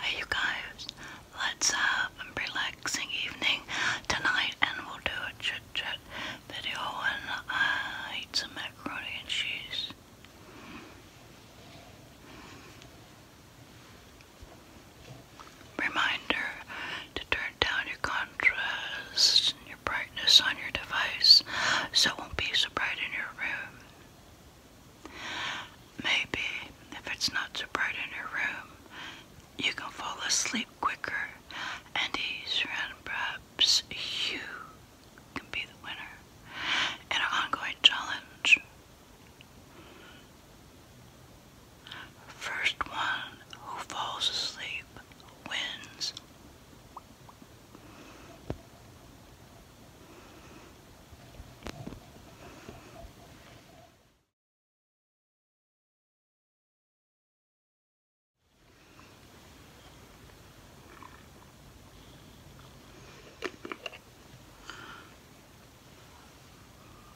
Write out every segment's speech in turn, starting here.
Hey you guys, let's have a relaxing evening tonight and we'll do a chit chat video and I eat some macaroni and cheese. Reminder to turn down your contrast and your brightness on your device so it won't be so bright in your room. Maybe if it's not so bright in your room, you can fall asleep quicker and perhaps you can be the winner in an ongoing challenge. First one who falls asleep wins.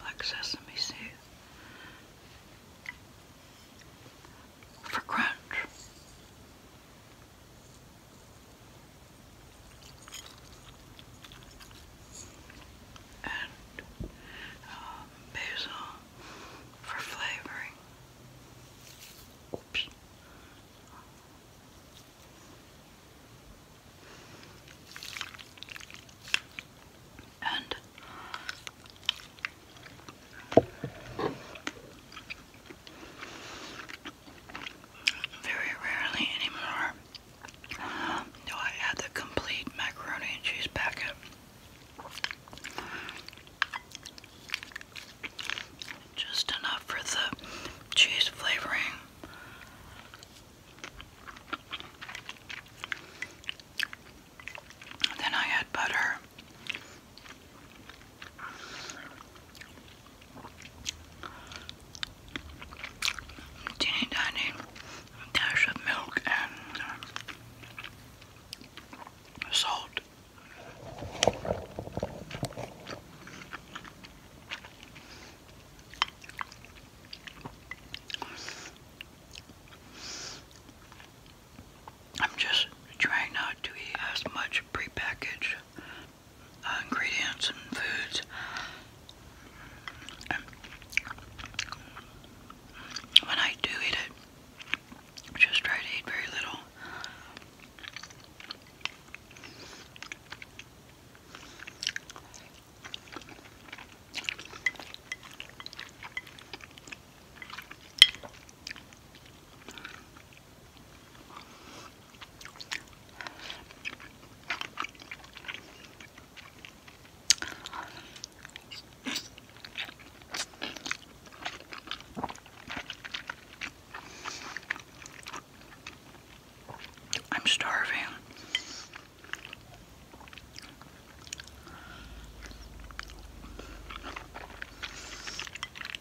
Black sesame seed for crunch and um, basil for flavoring. Oops. And very rarely anymore do I add the complete macaroni and cheese packet just enough for the cheese flavoring then I add butter teeny tiny dash of milk and salt. I'm just trying not to eat as much prepackaged uh, ingredients and foods. when I do eat it, just try to eat very little. I'm starving.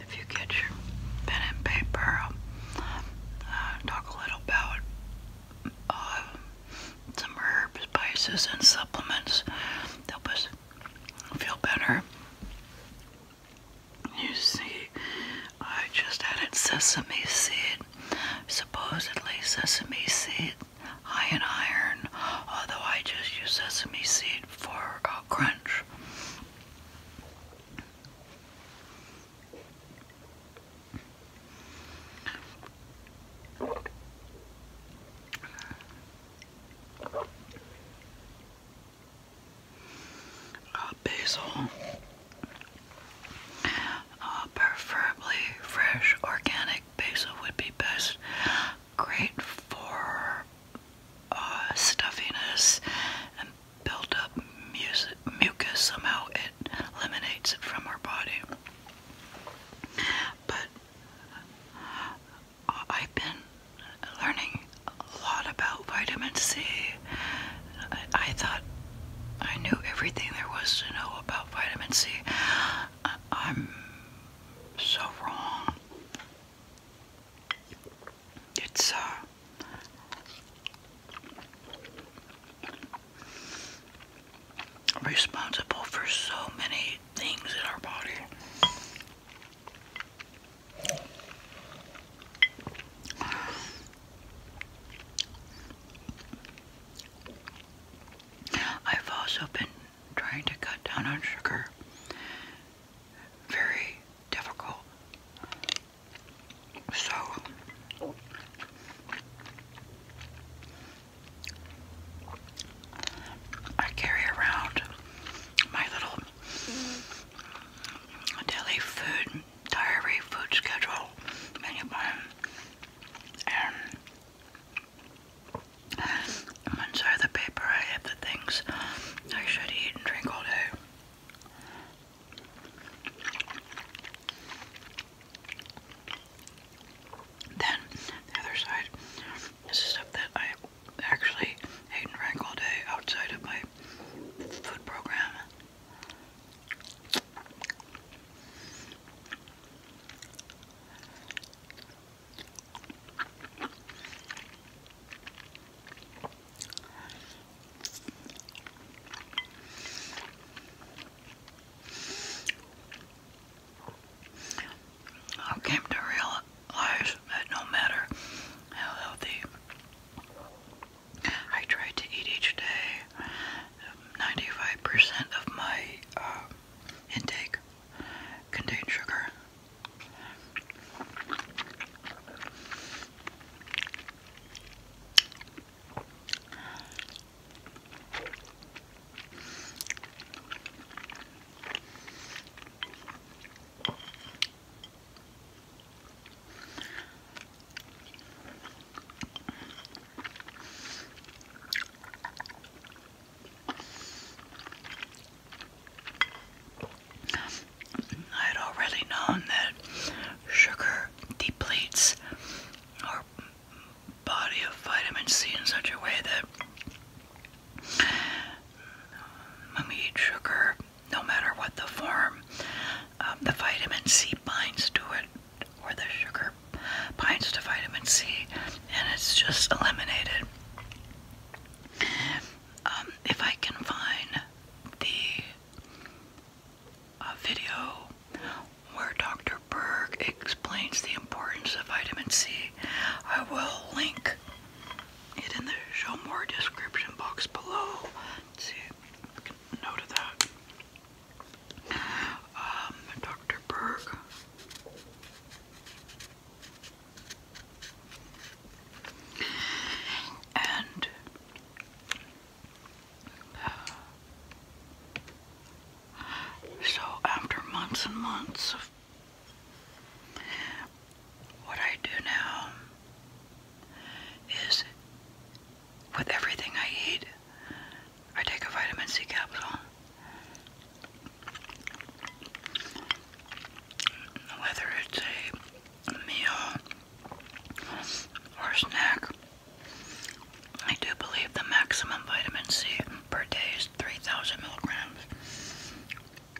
If you get your pen and paper, uh, talk a little about uh, some herbs, spices, and supplements. Help us feel better. You see, I just added sesame seed, supposedly sesame seed high in iron, although I just use sesame seed for uh, crunch basil, uh, preferably fresh organic basil would be best. Great for uh, stuffiness and build mucus. Somehow it eliminates it from our body. But I've been learning a lot about vitamin C. I, I thought I knew everything there was to know about vitamin C. I, I'm so wrong. It's uh, responsible for so many things in our body. I've also been trying to cut down on sugar. Very difficult. So I carry around my little daily food diary food schedule menu plan and um, inside the paper I have the things I should eat and drink all day. Then the other side this is stuff that I actually ate and drank all day outside of my food program. I came lives that no matter how healthy I try to eat each day, 95% of my uh, intake contains sugar. I'd already known that sugar depletes our body of vitamin C in such a way that when we eat sugar, no matter what the form, um, the vitamin C binds to it, or the sugar binds to vitamin C, and it's just eliminated. Um, if I can find the uh, video where Dr. Berg explains the importance of vitamin C, I will link it in the show more description box below. see, note of that. Um, Dr. Berg. And uh, so, after months and months of what I do now is with everything I eat, I take a vitamin C capsule. Whether it's a meal or snack, I do believe the maximum vitamin C per day is 3,000 milligrams.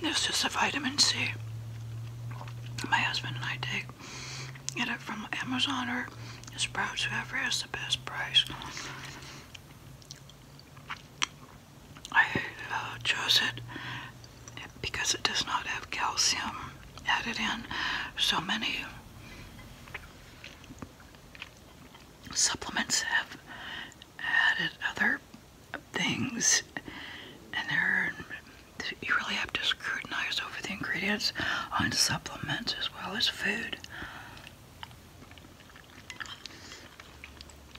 This is the vitamin C my husband and I take. Get it from Amazon or Sprouts, whoever has the best price. I uh, chose it because it does not have calcium added in. So many supplements have added other things, and you really have to scrutinize over the ingredients on supplements as well as food.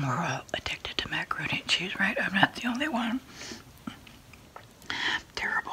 We're all addicted to macaroni and cheese, right? I'm not the only one. Terrible.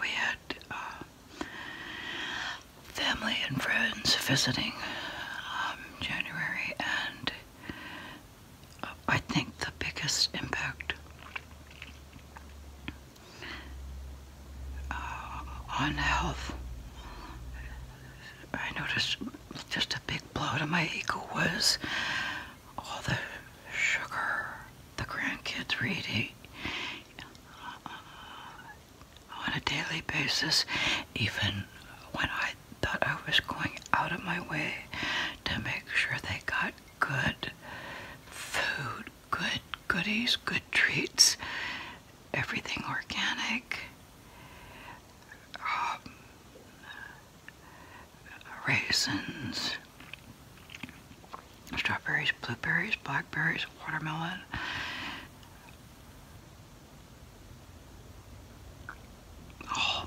We had uh, family and friends visiting um, January, and uh, I think the biggest impact uh, on health. I noticed just a big blow to my ego was all the sugar the grandkids were eating. Uh, on a daily basis, even when I thought I was going out of my way to make sure they got good food, good goodies, good treats, everything organic, um, raisins, strawberries, blueberries, blackberries, watermelon. Oh,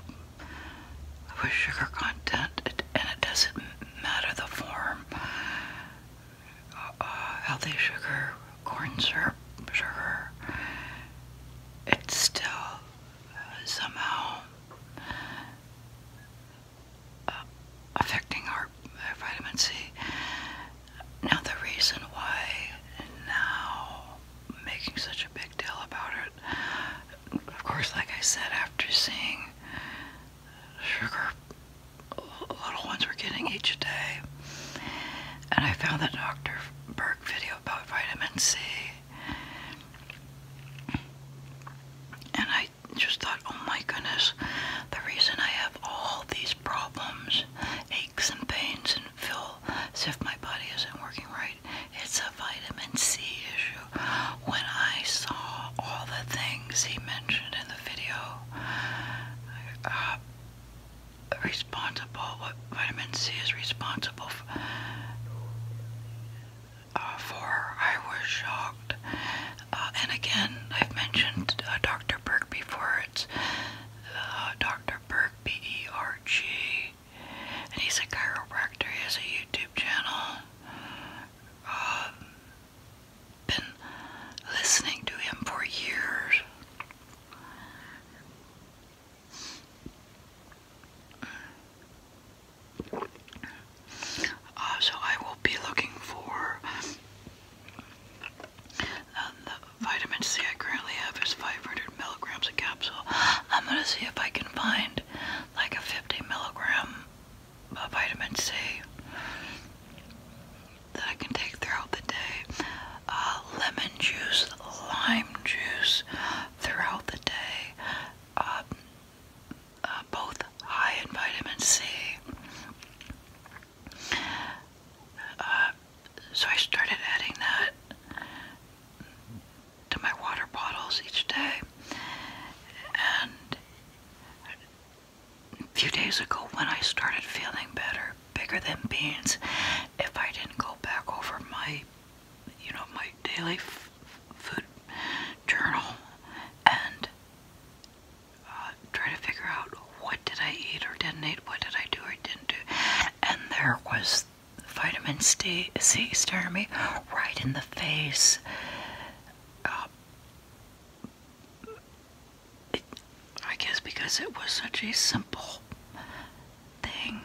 I sugar content, and it doesn't matter the form. Uh, healthy sugar, corn syrup, sugar. It's still somehow uh, affecting our vitamin C. Now, the reason why now I'm making such a big deal about it, of course, like I said, after seeing sugar little ones we're getting each day, and I found that Dr. Berg video about vitamin C, and I just thought, oh my goodness, the reason I have all these problems, aches and pains, and does feel as if my body isn't working right. It's a vitamin C issue. When I saw all the things he mentioned in the video, uh, responsible, what vitamin C is responsible uh, for, I was shocked. Uh, and again, I've mentioned Dr. Berg before. It's Dr. Berg B-E-R-G. And he's a chiropractor. He has a YouTube channel. Um, been listening to him for years. Uh, so I will be looking for the vitamin C I currently have is 500 milligrams a capsule. I'm gonna see if I can find like a 50 milligram of vitamin C that I can take throughout the day. Uh, lemon juice, lime juice throughout the day. Um, uh, both high in vitamin C. Uh, so I started adding that to my water bottles each day. And a few days ago, when I started feeling better, bigger than beans, if I didn't go back over my, you know, my daily food journal and uh, try to figure out what did I eat or didn't eat, what did I do or didn't do, and there was vitamin C staring me right in the face. Uh, I guess because it was such a simple thing,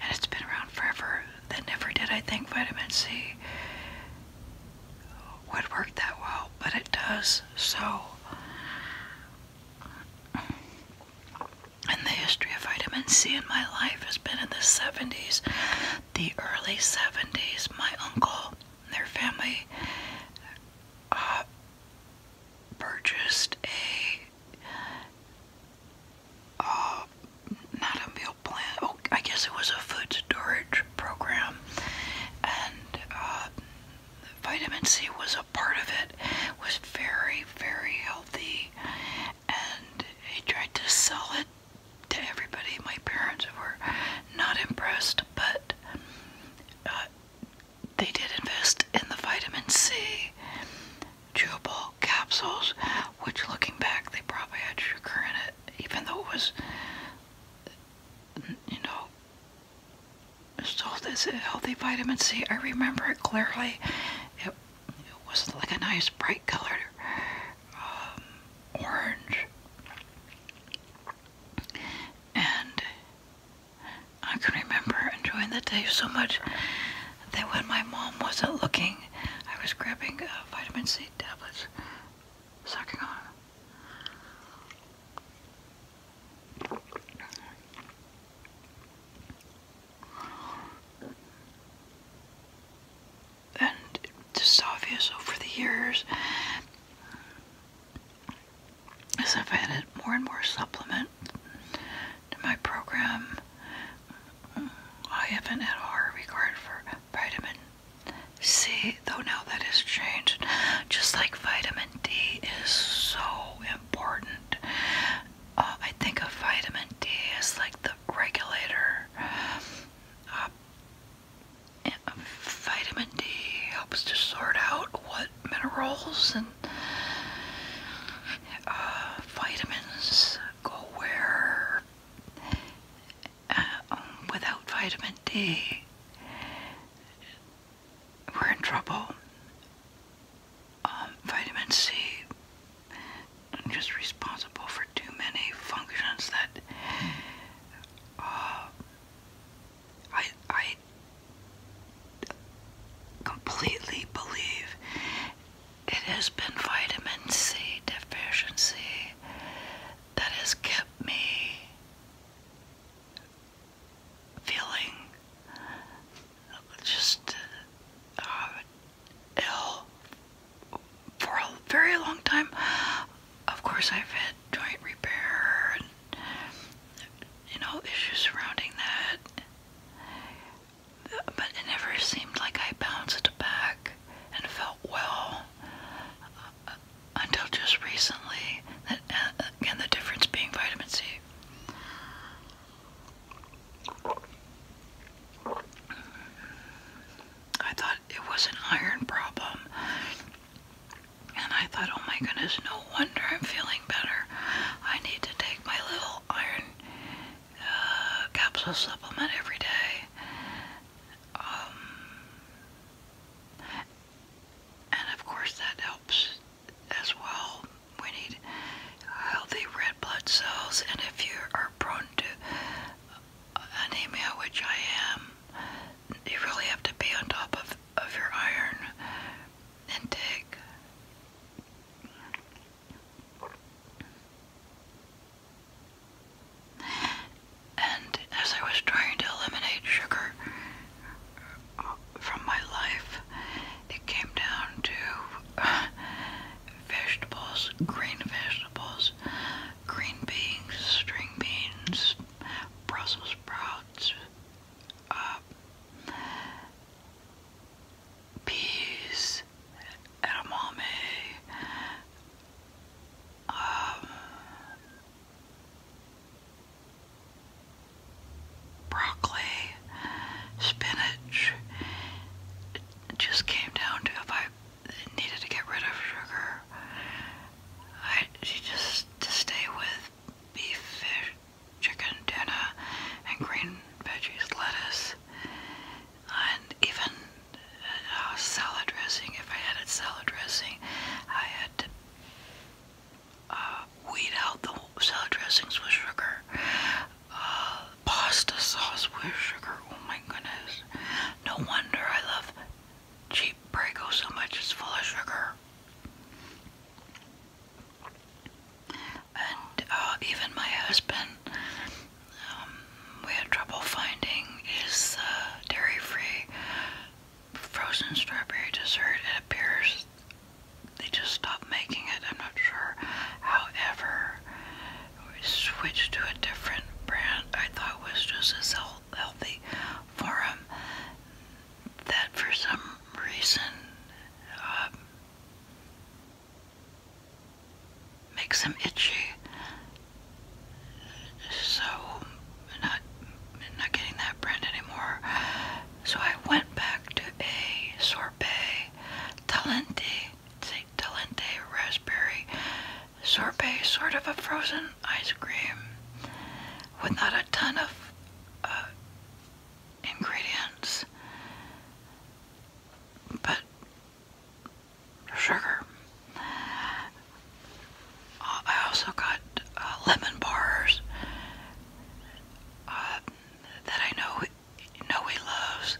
and it's been around forever, that never did I think vitamin C would work that well, but it does. So and the history of vitamin C in my life has been in the 70s, the early 70s. My uncle and their family uh, purchased a, uh, not oh, I guess it was a food storage program. And uh, vitamin C was a part of it was very, very healthy, and he tried to sell it to everybody. My parents were not impressed, but uh, they did invest in the vitamin C chewable capsules, which looking back, they probably had sugar in it, even though it was, you know, so this is healthy vitamin C. I remember it clearly. It, was like a nice bright colored um, orange. And I can remember enjoying the day so much that when my mom wasn't looking, I was grabbing uh, vitamin C tablets, sucking on and it's just obvious over the years, as I've added more and more supplement to my program, I haven't at all regard for vitamin C, though now that has changed. Just like vitamin vitamin D is so important. Uh, I think of vitamin D as like the regulator. Uh, vitamin D helps to sort out what minerals and uh, vitamins go where. Uh, um, without vitamin D, we're in trouble. Um, vitamin C is responsible for too many functions that uh, I, I completely believe it has been vitamin C deficiency that has kept me feeling just uh, ill for a very long time. Of course, I've had joint repair and you know issues surrounding that, but it never seemed like I bounced back and felt well. Uh, until just recently. That, uh, again, the difference being vitamin C. I thought it was an iron problem. And I thought, oh my goodness, no wonder I'm feeling better. I need to take my little iron uh, capsule supplement every day. Um, and of course, that helps as well. We need healthy red blood cells, and if you are prone to anemia, which I am, you really have to be on top of, of your iron intake. And as I was trying to eliminate sugar uh, from my life. It came down to uh, vegetables, green vegetables, green beans, string beans, Brussels sprouts, uh, peas, edamame, um, broccoli, spinach. just came down to if I needed to get rid of sugar, I just to stay with beef, fish, chicken, tuna, and green veggies, lettuce, and even uh, salad dressing. If I added salad dressing, I had to uh, weed out the salad dressings with sugar, uh, pasta sauce with sugar. Oh my goodness. No wonder I love cheap Prego so much, it's full of sugar. And uh, even my husband, um, we had trouble finding is dairy free frozen strawberry dessert. It appears they just stopped making it. I'm not sure. However, we switched to a different brand I thought was just as healthy for That for some reason um, makes them itchy. So, not not getting that brand anymore. So I went back to a sorbet talente, it's a raspberry sorbet, sort of a frozen ice cream with not a ton of uh, ingredients, but sugar. Uh, I also got uh, lemon bars uh, that I know know he loves.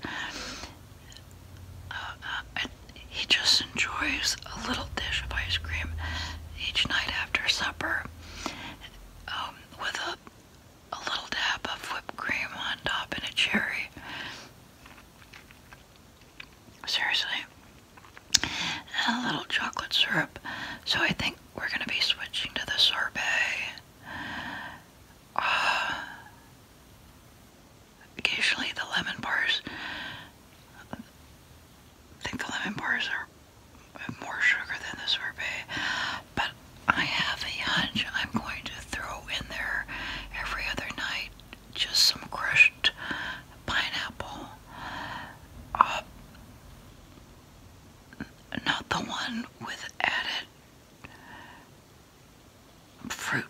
he just enjoys a little dish of ice cream each night after supper, um, with a a little dab of whipped cream on top and a cherry. Seriously, and a little chocolate syrup. So I think we're going to be switching to the sorbet. Uh, occasionally the lemon bars, I think the lemon bars are more sugar than the sorbet, but I have a hunch I'm going to throw in there every other night just some crushed pineapple. Uh, not the one with added fruit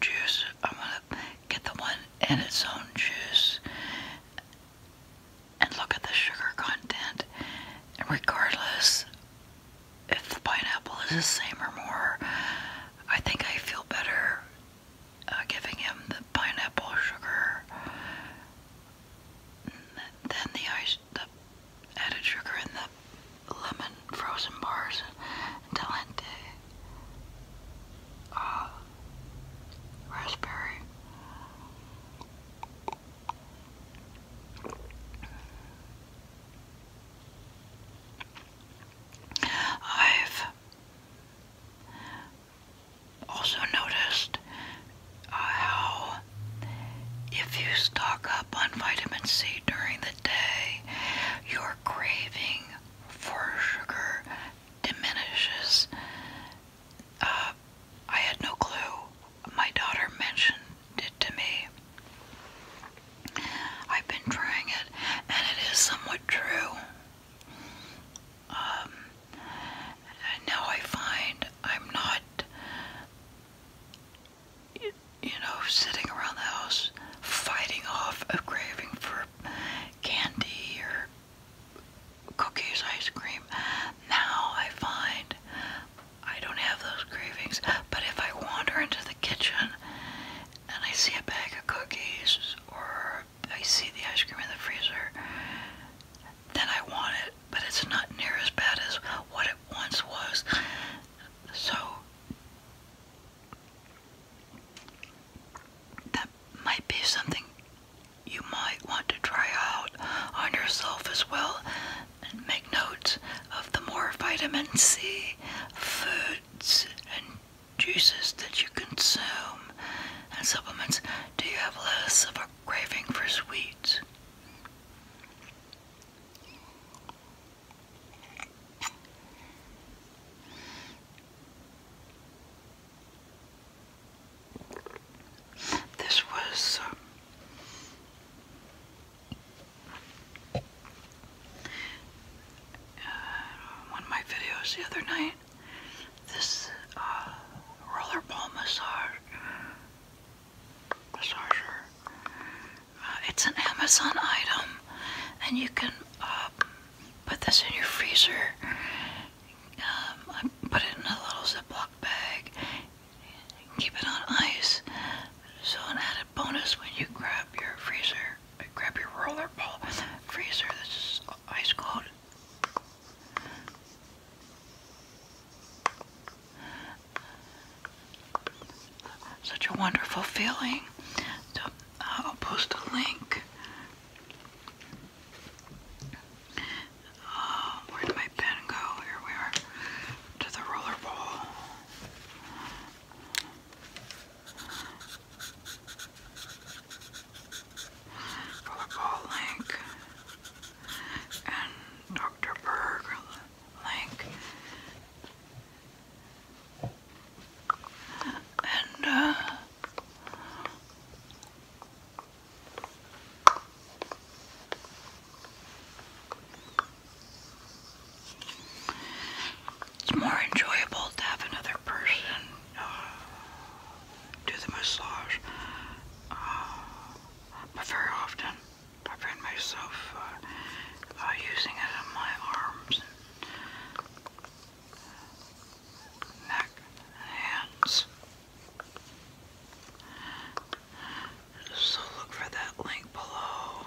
juice. I'm gonna get the one in its own juice and look at the sugar content. And regardless if the pineapple is the same or more, I think I feel better uh, giving him the pineapple sugar, then the ice, the added sugar in the lemon frozen bars, and talente, uh, raspberry. I've also noticed uh, how if you stock up on vitamin C during the day, your craving for sugar diminishes. Uh, I had no clue. My daughter mentioned it to me. I've been trying it, and it is somewhat true and um, now I find I'm not, you know, sitting around the house fighting off a craving for candy or cookies, ice cream. Now I find I don't have those cravings, but if I wander into the kitchen and I see a bag of cookies or I see the ice cream in the freezer, then I want it, but it's not near as bad as what it once was. So that might be something you might want to try out on yourself as well and make notes of the more vitamin C foods and juices that you consume and supplements, do you have less of a craving for sweets? This was uh, uh, one of my videos the other night. This uh, roller ball massage massager. Uh, it's an Amazon item, and you can um, put this in your freezer. Um, put it in a little ziplock bag. Keep it on ice. So an added bonus when you grab your freezer, grab your roller freezer. This is ice cold. Such a wonderful feeling. So uh, I'll post a link. Uh, where did my pen go? Here we are. To the rollerball. Protocol link and Dr. Berg link. And uh, it's more enjoyable to have another person uh, do the massage, uh, but very often I find myself uh, using it on my arms, neck, and hands. So look for that link below